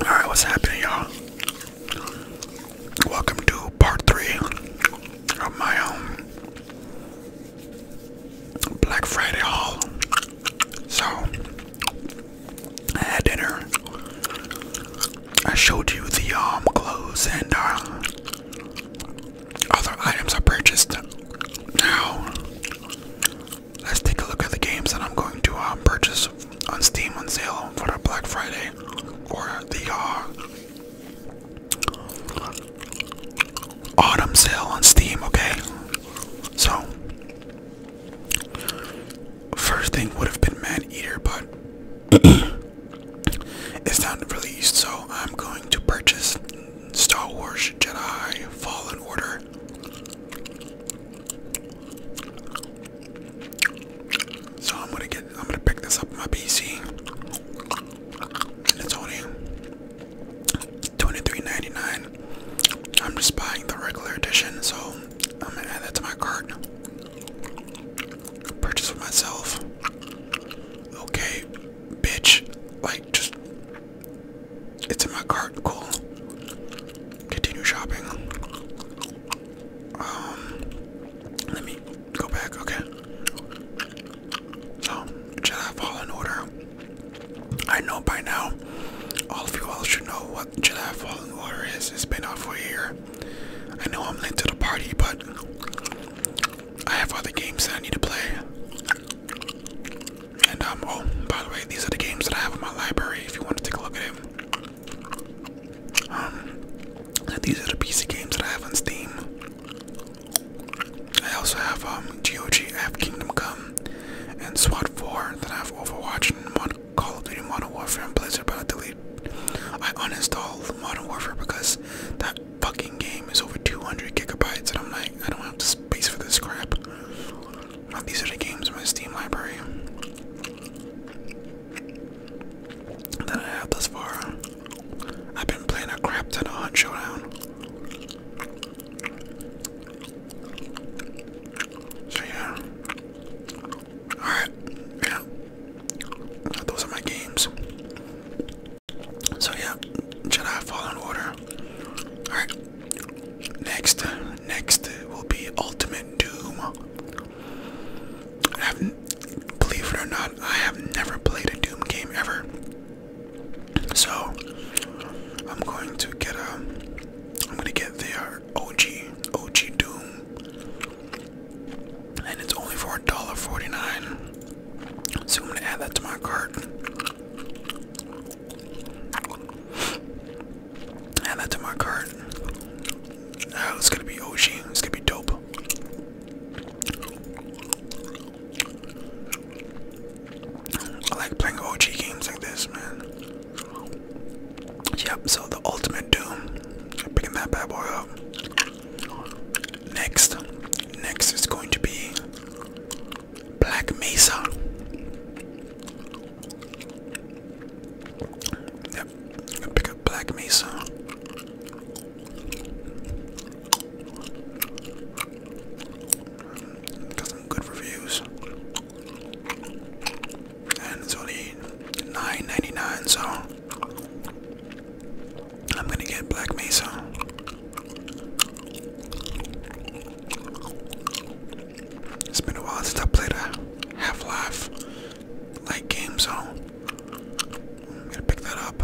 Alright, what's happening, y'all? Welcome to part three of my um, Black Friday haul. So, I dinner. I showed you the um, clothes and uh, other items I purchased. Now, let's take a look at the games that I'm going to uh, purchase on Steam on sale for the Black Friday or the uh, autumn sale on Steam. Okay, so first thing would have been Man Eater, but it's not released, so I'm going to purchase Star Wars Jedi Fallen Order so I'm gonna get I'm gonna pick this up on my PC. it's only 23 I'm just buying the regular edition, so I'm gonna add that to my cart. Purchase for myself. Okay, bitch. Like just it's in my cart. Cool. Continue shopping. Um, let me go back. Okay. So, should fall in order? I know by now, all of you all should know what Jedi Fallen Order is. It's been out for a year. I know I'm late to the party, but I have other games that I need to play. And um, oh, by the way, these are the games that I have in my library. If you want to take a look at it, um, these are the PC games that I have on Steam. I also have um, GOG, I have Kingdom Come, and SWAT 4. Then I have Overwatch and Mod Call of Duty Modern Warfare and Blizzard. But I delete, I uninstall Modern Warfare because that fucking game is over 200 gigabytes, and I'm like, I don't have the space for this crap. These are the games in my Steam library that I have thus far. I've been playing a crap ton of Hunt Showdown. So yeah. Alright, yeah. Those are my games. So yeah, Jedi Fallen Order. Alright, Next, next will be Ultimate Doom. believe it or not, I have never played a Doom game ever. So I'm going to get a, um, I'm gonna get the uh, OG, OG Doom, and it's only for $1.49. So I'm gonna add that to my cart. Add that to my cart. Oh, it's gonna be OG. It's gonna be dope. I like playing OG games like this, man. Yep, so the ultimate doom. Picking that bad boy up. Next, next is going to be Black Mesa. Yep, I'm gonna pick up Black Mesa. Got some good reviews. And it's only $9.99, so I'm gonna get Black Mesa. It's been a while since I played a Half-Life like game, so I'm gonna pick that up.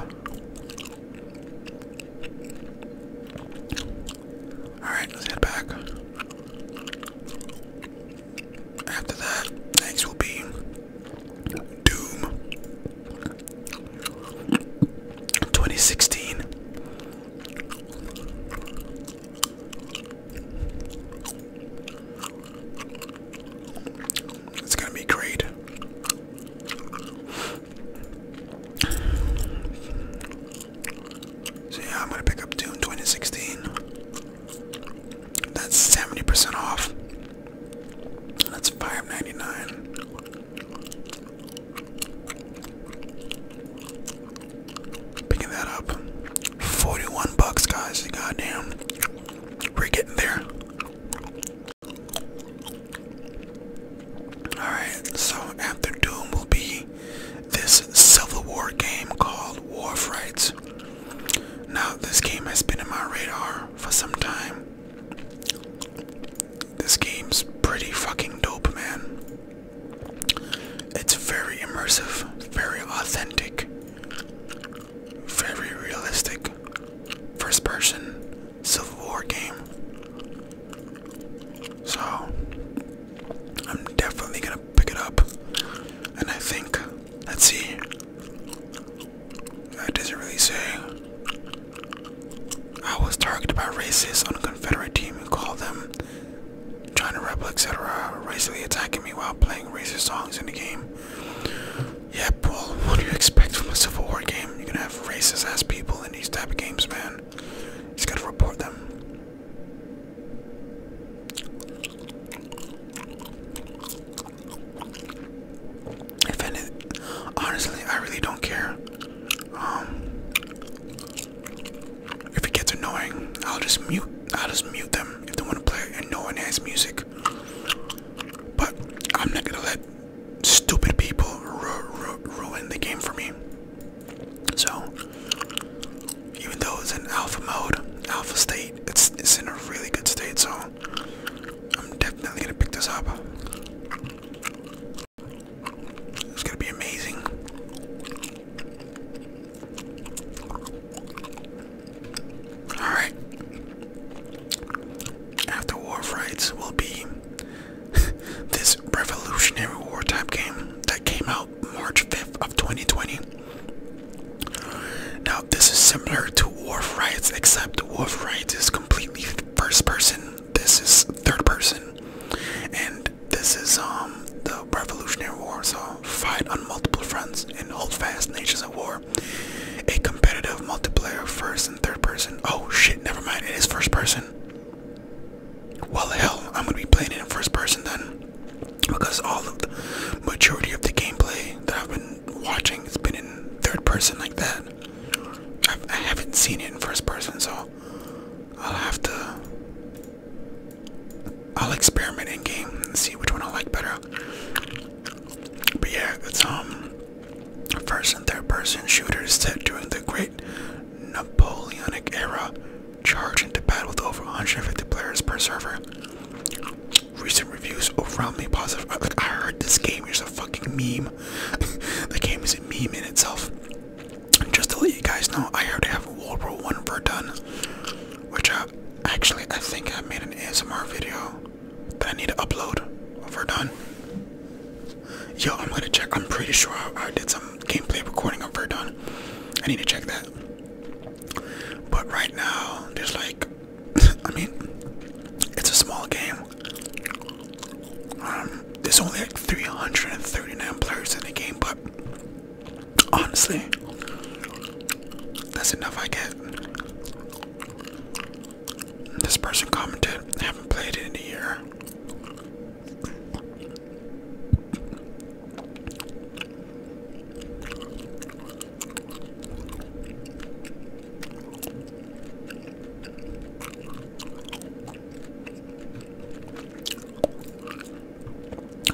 Alright, let's head back. After that, next will be Doom 2016. It's gonna be great. So I'm gonna pick up Doom 2016. That's 70% off. That's $5.99. Picking that up. 41 bucks, guys. Goddamn. We're getting there. Alright, so after Doom will be this Civil War game called War Now, this game has been in my radar for some time. This game's pretty fucking dope, man. It's very immersive, very authentic, very realistic. First person Civil War game. So, I'm definitely gonna pick it up. And I think, let's see. That doesn't really say. I was targeted by racists on a Confederate team and called them trying to rebel, etc., are racially attacking me while playing racist songs in the game. Yeah, well, what do you expect from a Civil War game? You're gonna have racist ass people in these type of games, man. You just gotta report them. If honestly, I really don't care. Um, if it gets annoying, I'll just mute. I'll just mute them if they want to play and no one has music. But I'm not gonna let stupid people ruin the game for me. So even though it's an alpha mode, alpha state, it's it's in a really good state. So I'm definitely gonna pick this up. It's gonna be amazing. Alright. After War Rights will be this revolutionary war type game that came out March 5th of 2020. Now this is similar to War Rights except War Rights is completely first person. This is third person. And this is um the Revolutionary War, so fight on multiple fronts and hold fast nations of war. A competitive multiplayer first and third person. Oh shit, never mind, it is first person. Well hell, I'm gonna be playing it in first person then. Because all of the majority of the gameplay that I've been watching has been in third person like that. I've, i have not seen it in first person, so I'll have to I'll experiment in game and see which one I like better. But yeah, it's um first and third person shooter set during the Great Napoleonic era, charge into battle with over 150 players per server. Recent reviews overwhelmingly positive. Like I heard this game is a fucking meme. the game is a meme in itself just to let you guys know, I already have World War One Verdone, which I actually I think I made an ASMR video that I need to upload. For Yo, I'm gonna check. I'm pretty sure I, did some gameplay recording of Verdone. I need to check that. But right now, there's like, I mean, it's a small game. Um, there's only like 339 players in the game, but Honestly, that's enough I get. This person commented, I haven't played it in a year.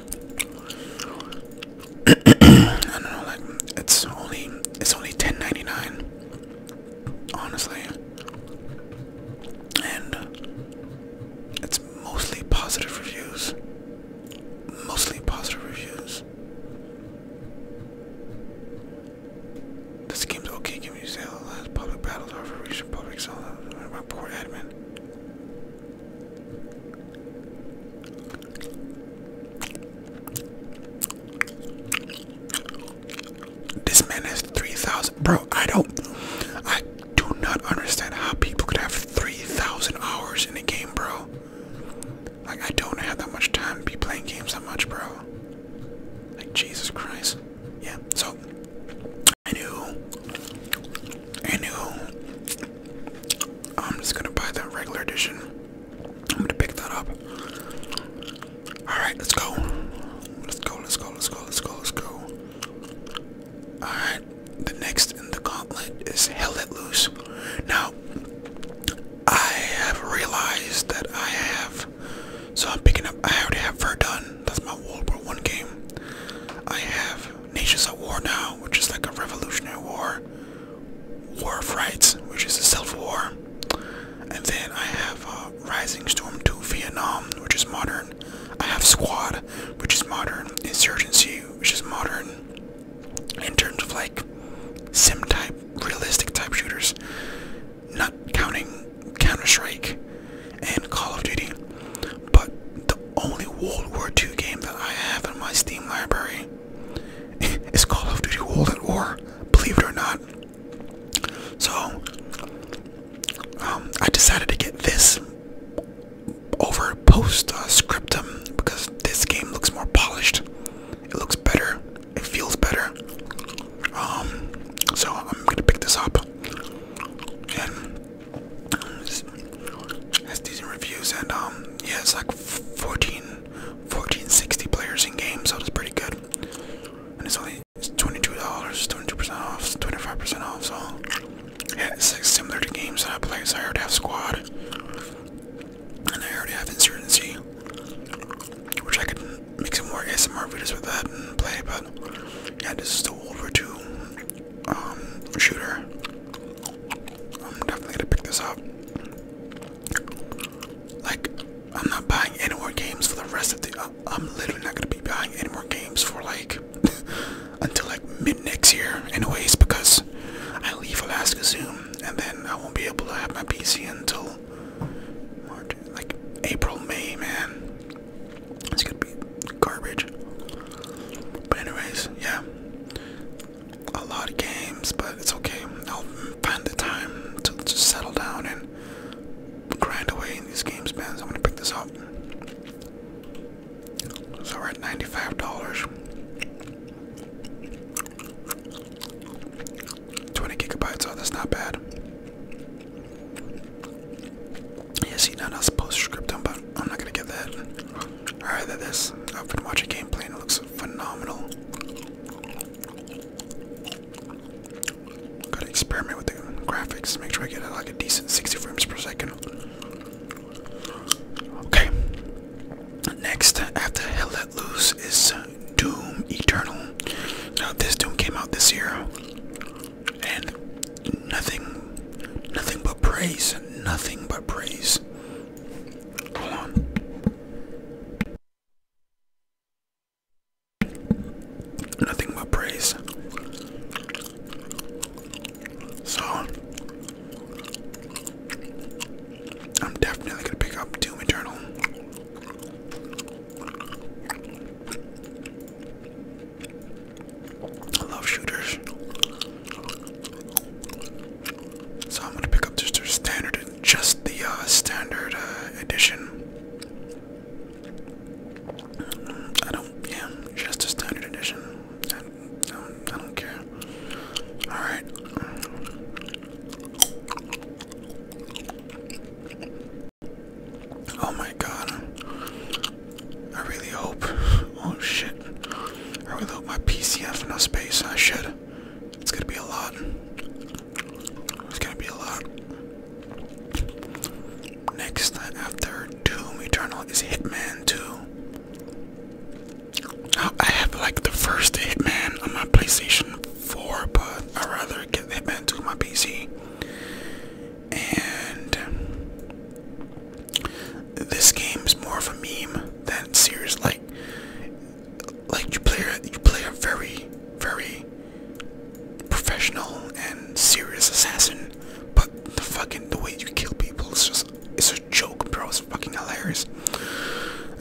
I don't know, like it's only it's only 10 honestly, and uh, it's mostly positive reviews. Mostly positive reviews. This game's okay. Give me sale. Uh, public battles are for recent public sale. Uh, poor admin. This man has 3,000. Bro, I don't. I do not understand how people could have 3,000 hours in a game, bro. Like, I don't have that much time to be playing games that much, bro. Like, Jesus Christ yeah, so I knew, I knew, I'm just gonna buy the regular edition. I'm gonna pick that up. All right, let's go. Let's go. Let's go. Let's go. Let's go. Let's go. All right, the next in the gauntlet is Hell Loose. Now, I have realized that I have, so I'm picking up. I already have Verdun. That's my World War One game. I have Nations at War now, which is like a revolutionary war. War of Rights, which is a civil war. And then I have uh, Rising Storm 2 Vietnam, which is modern. I have Squad, which is modern. Insurgency, which is modern. In terms of like sim type, realistic type shooters, not counting Counter-Strike and Call of Duty. But the only World War II game that I have in my Steam library is Call of Duty World at War, believe it or not. So um, I decided to get this over Postscriptum uh, because this game looks more polished. It looks better. It feels better. Um, so I'm gonna pick this up, and has decent reviews and um yeah it's like 14 1460 players in game so it's pretty good and it's only $22 22% off 25% off so yeah it's similar to games that I play so I already have squad and I already have insurgency which I could make some more ASMR videos with that and play but yeah, this is the Wolver 2 um, shooter. I'm definitely gonna pick this up. Like, I'm not buying any more games for the rest of the. Uh, I'm literally not gonna be buying any more games for like until like mid next year, anyways, because I leave Alaska soon, and then I won't be able to have my PC until like April, May, man. It's gonna be garbage. But anyways, yeah. A lot of games, but it's okay. I'll find the time to just settle down and grind away in these games, man. I'm gonna pick this up. So we're at ninety-five dollars. Twenty gigabytes. Oh, that's not bad. Yes, you know that's postscriptum, but I'm not gonna get that. Alright, This. is. I've been watching gameplay and it looks phenomenal. Gotta experiment with the graphics, make sure I get like a decent 60 frames per second. Okay. Next, after Hell Let Loose is Doom Eternal. Now, this Doom came out this year and nothing, nothing but praise, nothing but praise. Hold on. Nothing but praise. So, I'm definitely gonna pick up Doom Eternal. I love shooters. So I'm gonna pick up just the standard, just the uh, standard uh, edition. I don't, yeah, just the standard edition. I don't care. All right. Oh my god. I really hope. Oh shit. I really hope my PC has no space. I should. It's gonna be a lot. It's gonna be a lot. Next after Doom Eternal is Hitman 2. I have like the first Hitman on my PlayStation 4, but I'd rather get Hitman 2 on my PC and this game's more of a meme than serious. Like, like you play a, you play a very, very professional and serious assassin, but the fucking the way you kill people is just it's a joke, bro. It's fucking hilarious.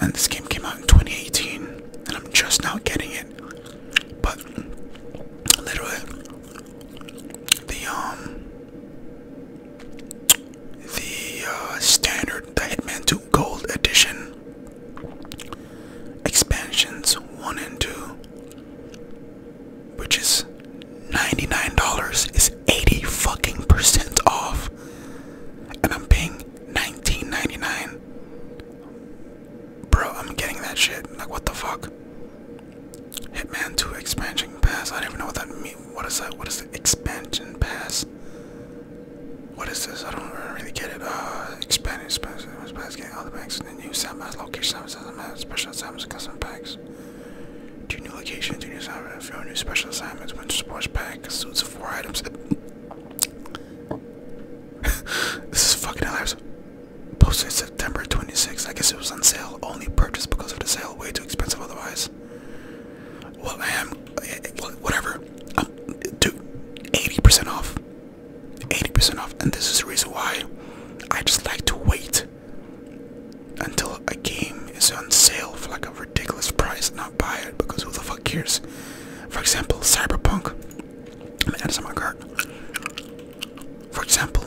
And this game came out in 2018, and I'm just now getting it. But literally, the um the uh, standard the Hitman 2 Gold Edition expansions 1 and 2 which is $99 is 80 fucking percent off and I'm paying 19.99 bro I'm getting that shit like what the fuck Hitman 2 expansion pass. I don't even know what that means. What is that? What is the expansion pass? What is this? I don't really get it. Uh, expanding, expansion pass, getting other banks, and the new sandbox location, sandbox, special assignments, custom packs. Two new locations, two new assignments, few new special assignments, winter sports pack, suits of four items. this is fucking hilarious. Posted September 26. I guess it was on sale. Only purchased because of the sale. Way too expensive otherwise. Well, I am. Eh, eh, whatever. dude, 80% off. 80% off. And this is the reason why I just like to wait until a game is on sale for like a ridiculous price and not buy it because who the fuck cares? For example, Cyberpunk. I'm to on my cart. For example,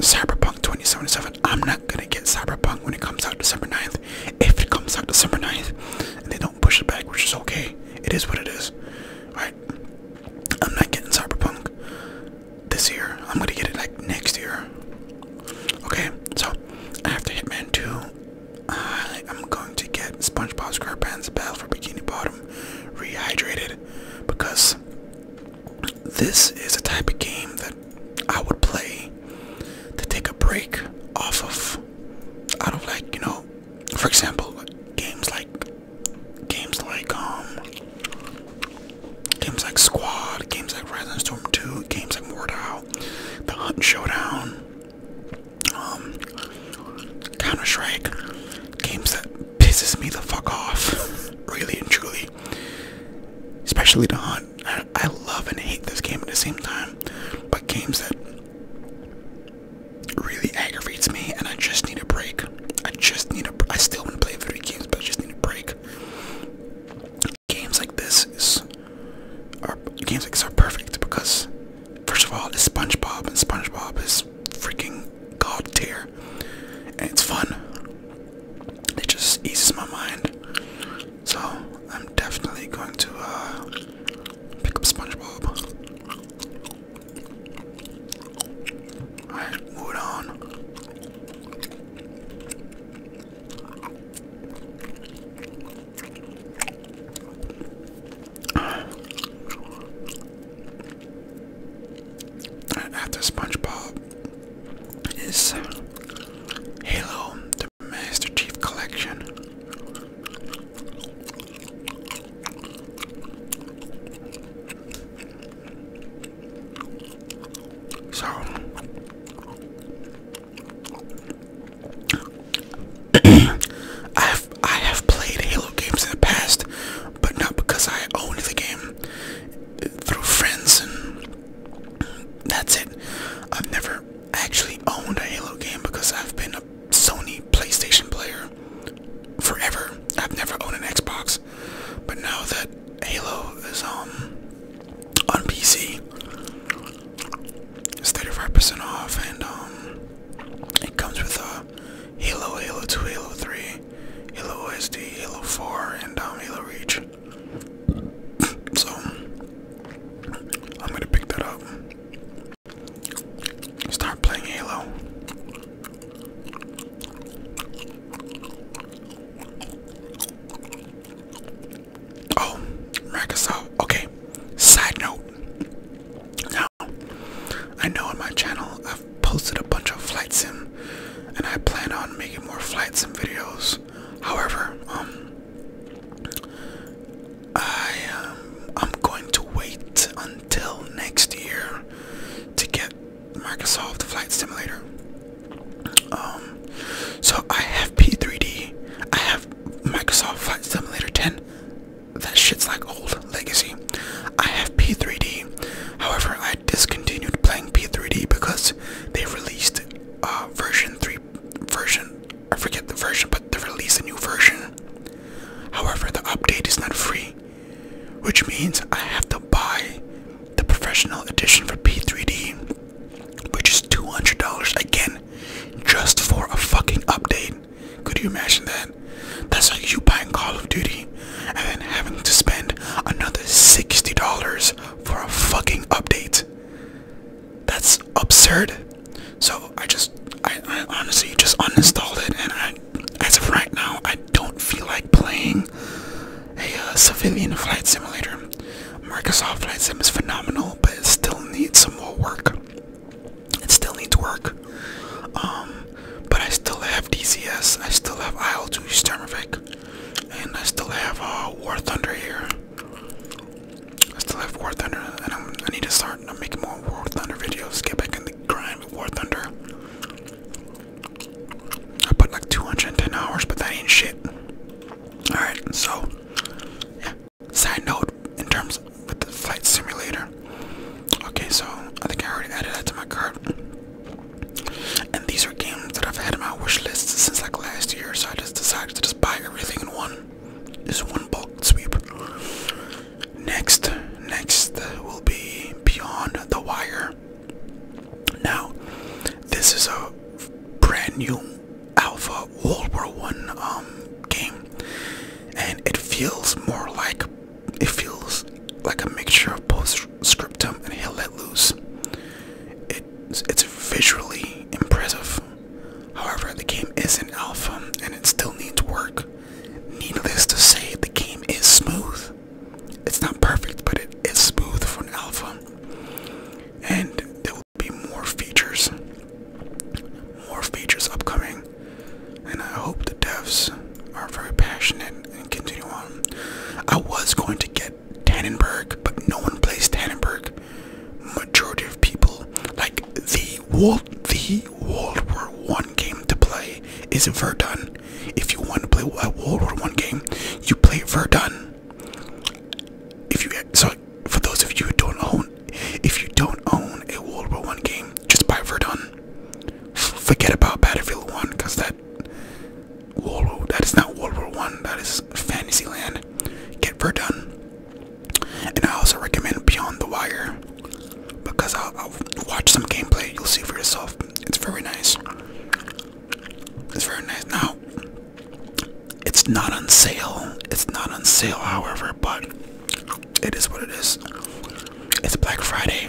Cyberpunk 2077. I'm not gonna get Cyberpunk when it comes out December 9th. If it comes out December 9th and they don't push it back, which is okay, it is what it is. Alright. I'm not getting Cyberpunk this year. I'm gonna get it like next year. Okay, so after Hitman 2, I am going to get SpongeBob SquarePants Battle for Bikini Bottom rehydrated because this is a type of game that I would play to take a break off of out of like you know for example games like games like um games like Squad, games like Rising Storm 2, games like Mordau, The Hunt Showdown, um, Counter Strike games that pisses me the fuck off, really and truly. Especially the hunt. I, love and hate this game at the same time, but games that really aggravates me, and I just need a break. I just need a. I still want to play video games, but I just need a break. Games like this are games like this are perfect because First of all, it's SpongeBob, and SpongeBob is freaking god tier, and it's fun. It just eases my mind. So I'm definitely going to uh, pick up SpongeBob. Alright, moving on. After SpongeBob is Halo, the Master Chief Collection. So I I have played Halo games in the past, but not because I own the game. Through friends and that's it. I've never actually owned a Halo game because I've been a Sony PlayStation player forever. I've never owned an Xbox. But now that Halo is um on PC, it's 35% off and um, it comes with a Halo, Halo 2, Halo 3, Halo OSD, Halo 4, and um, Halo Reach. so, I'm gonna pick that up. Start playing Halo. Oh, Microsoft. Okay. Side note. I know on my channel I've posted a bunch of flight sim and I plan on making more flight sim videos. However, um I um, I'm going to wait until next year to get Microsoft Flight Simulator. Um so I have P3D, I have Microsoft Flight Simulator 10, that shit's like old legacy. I have P3D, however, I discontinued playing P3D because they released uh, version 3 version. I forget the version, but they released a new version. However, the update is not free, which means I have to buy the professional edition for P3D, which is $200 again, just for a fucking update. Could you imagine that? That's like you buying Call of Duty and then having to spend another $60 for a fucking update. That's absurd. So I just, I, honestly just uninstalled it and I, as of right now, I don't feel like playing a uh, civilian flight simulator. Microsoft Flight Sim is phenomenal, but it still needs some more work. It still needs work. Um, but I still have DCS. I still have IL-2 Sturmovik. And I still have uh, War Thunder here. I still have War Thunder. And i need to start making more War Thunder videos. Get back in the grind with War Thunder. I put like 210 hours, but that ain't shit. Alright, so, Side note, in terms with the flight simulator. Okay, so I think I already added that to my cart. And these are games that I've had on my wish list since like last year, so I just decided to just buy everything in one. Just one bulk sweep. Next, next will be Beyond the Wire. Now, this is a brand new Alpha World War One um game and it feels more like it feels like a mixture of postscriptum and he'll let loose. It, it's visually impressive. However, the game is in alpha and it still needs work. Needless to say, the game is smooth. It's not perfect, but it is smooth for an alpha. And there will be more features, more features upcoming and I hope the devs are very passionate and continue on. I was going to get Tannenberg, but no one plays Tannenberg. Majority of people like the world, the World War One game to play is Verdun. If you want to play a World War One game, you play Verdun. If you so, for those of you who don't know if you don't own a World War One game, just buy Verdun. Forget about Battlefield One, cause that World that is not World War One. That is Fantasyland. Get Verdun. And I also recommend Beyond the Wire, because I'll, I'll watch some gameplay. You'll see for yourself. It's very nice. It's very nice. Now, it's not on sale. It's not on sale, however, but it is what it is. It's Black Friday.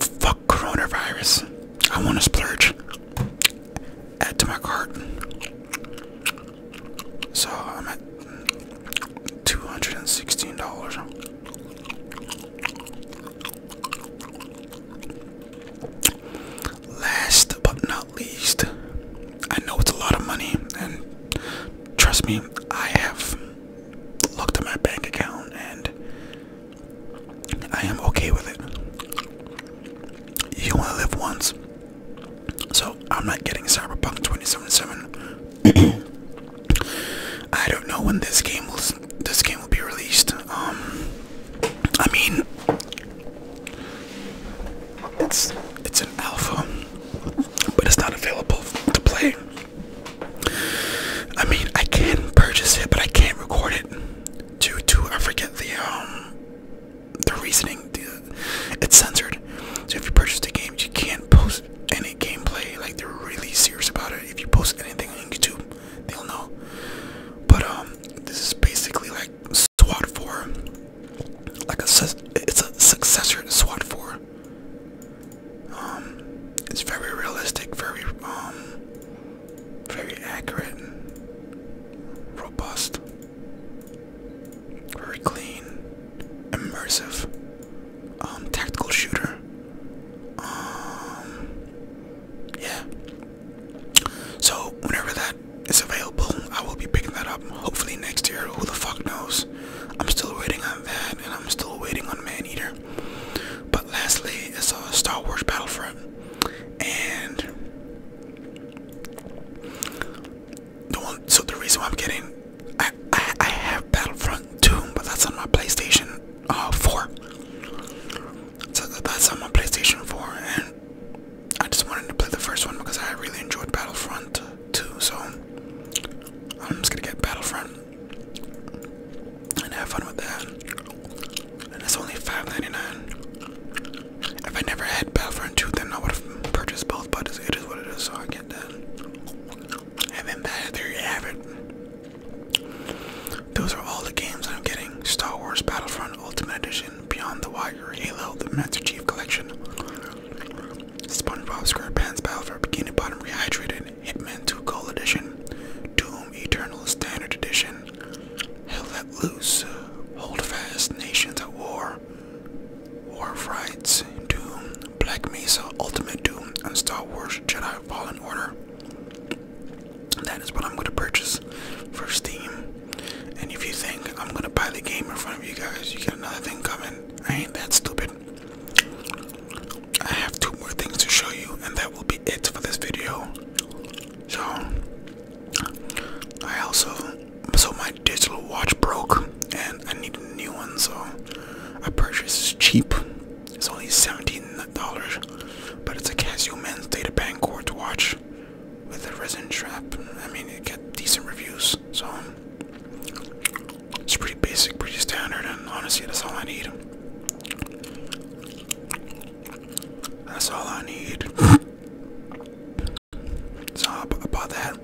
Fuck coronavirus. I want to splurge. Add to my cart. So I'm at $216. Last but not least, I know it's a lot of money, and trust me, I have looked at my bank account and I am okay with it. You only live once. So I'm not getting Cyberpunk 2077. I don't know when this game will this game will be released. Um I mean it's it's an alpha but it's not available to play. I mean, I can purchase it, but I can't record it due to I forget the um the reasoning. it's censored, so if you purchase the game, you can't post any gameplay. Like they're really serious about it. If you post anything on YouTube, they'll know. But um, this is basically like SWAT 4, like a it's a successor to SWAT 4. Um, it's very realistic, very um, very accurate, robust, very clean, immersive, um, tactical shooter. yeah. So whenever that is available, I will be picking that up. Hopefully next year. Who the fuck knows? I'm still waiting on that, and I'm still waiting on Man Eater. But lastly, it's a Star Wars Battlefront, and the one. So the reason why I'm getting, I I, have Battlefront 2, but that's on my PlayStation uh, 4. So that's on my PlayStation 4, and I just wanted to play the first one because I really enjoyed Battlefront. 2, so I'm just gonna get Battlefront and have fun with that. And it's only $5.99. If I never had Battlefront 2, then I would have purchased both, but it is what it is, so I get that. And then that, there you have it. Those are all the games I'm getting Star Wars Battlefront Ultimate Edition, Beyond the Wire, Halo, the Master Chief Collection. SpongeBob SquarePants Battle for Bikini Bottom Rehydrated, Hitman 2 Gold Edition, Doom Eternal Standard Edition, Hell Let Loose, Hold Fast, Nations at War, War of Doom, Black Mesa, Ultimate Doom, and Star Wars Jedi Fallen Order. That is what I'm going to purchase for Steam. And if you think I'm going to buy the game in front of you guys, you got another thing coming. I ain't that stupid. I have two more things to show you, and that will be it for this video. So, I also, so my digital watch broke, and I need a new one, so I purchased it's cheap. It's only $17, but it's a Casio Men's Data Bank quartz watch with a resin strap. I mean, it got decent reviews, so it's pretty basic, pretty standard, and honestly, that's all I need. That's all I need. so I that.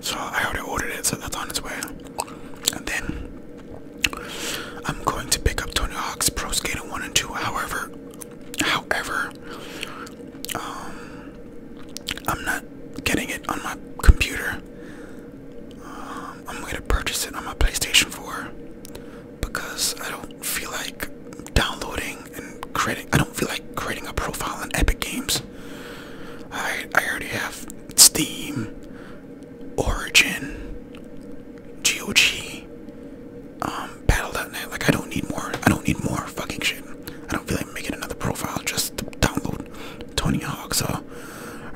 So I already ordered it, so that's on its way. And then I'm going to pick up Tony Hawk's Pro Skater 1 and 2. However, however, um, I'm not getting it on my computer. Um, I'm going to purchase it on my PlayStation 4 because I don't feel like downloading and creating. I don't feel like creating a profile in Epic Games. I I already have Steam, Origin, GOG, um, Battle.net. Like I don't need more. I don't need more fucking shit. I don't feel like making another profile just to download sold 20 hogs, so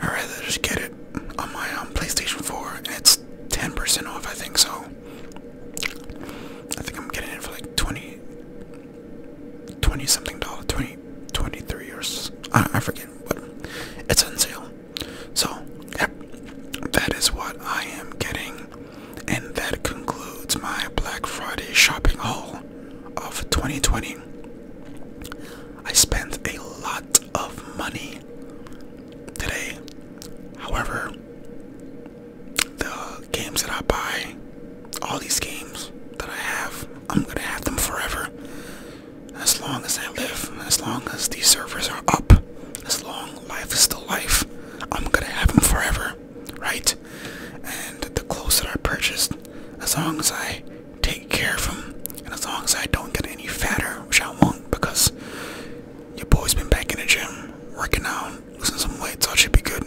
I'd rather just get it on my um, PlayStation 4, and it's 10% off, I think, so I think I'm getting it for like 20, 20 something dollar, 20, 23 or I, forget, but it's on sale. So, yep, that is what I am getting, and that concludes my Black Friday shopping haul of 2020, I spent a lot of money today. However, the games that I buy, all these games that I have, I'm gonna have them forever. As long as I live, as long as these servers are up, as long life is still life, I'm gonna have them forever, right? and the clothes that I purchased, as long as I take care of them, and as long as I don't get any fatter, which I won't, because your boy's been back in the gym, working out, losing some weight, so it should be good.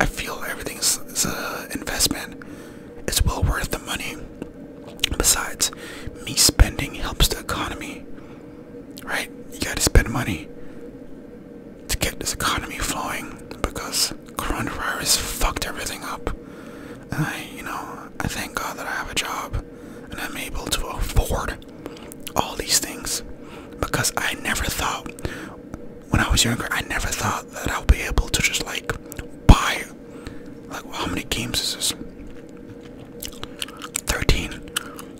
I feel everything's is an investment. It's well worth the money. Besides, me spending helps the economy. Right? You gotta spend money to get this economy flowing because coronavirus fucked everything up. And I, you know, I thank God that I have a job and I'm able to afford all these things because I never thought when I was younger, I never thought that I'll be able to just like buy like how many games is this? 13.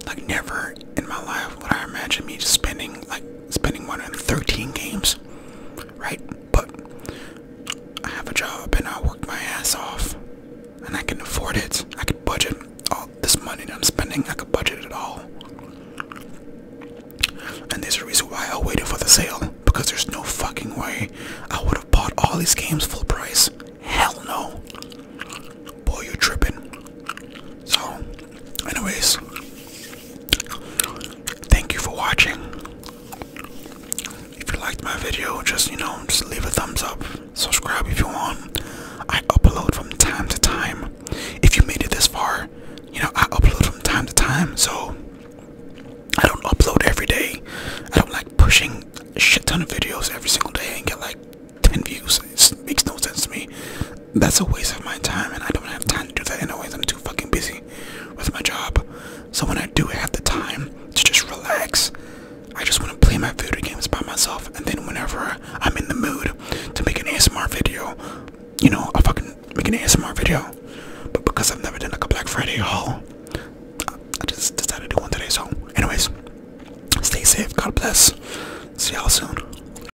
Like never in my life would I imagine me just spending like spending money on 13 games, right? But I have a job and I work my ass off, and I can afford it. I could budget all this money I'm spending. I could budget it all. And there's a reason why I waited for the sale because there's no fucking way I would have bought all these games full price. Hell no. Boy, you're tripping. So Anyways, thank you for watching. If you liked my video, just you know, just leave a thumbs up. Subscribe if you want. I upload from time to time. If you made it this far, you know, I upload from time to time, so I don't upload every day. I don't like pushing a shit ton of videos every single day and get like 10 views. It makes no sense to me that's a waste of my time, and I don't have time to do that. Anyways, I'm too fucking busy with my job. So when I do have the time to just relax, I just want to play my video games by myself. And then whenever I'm in the mood to make an ASMR video, you know, I will fucking make an ASMR video. But because I've never done like a Black Friday haul, I just decided to do one today. So, anyways, stay safe. God bless. See y'all soon.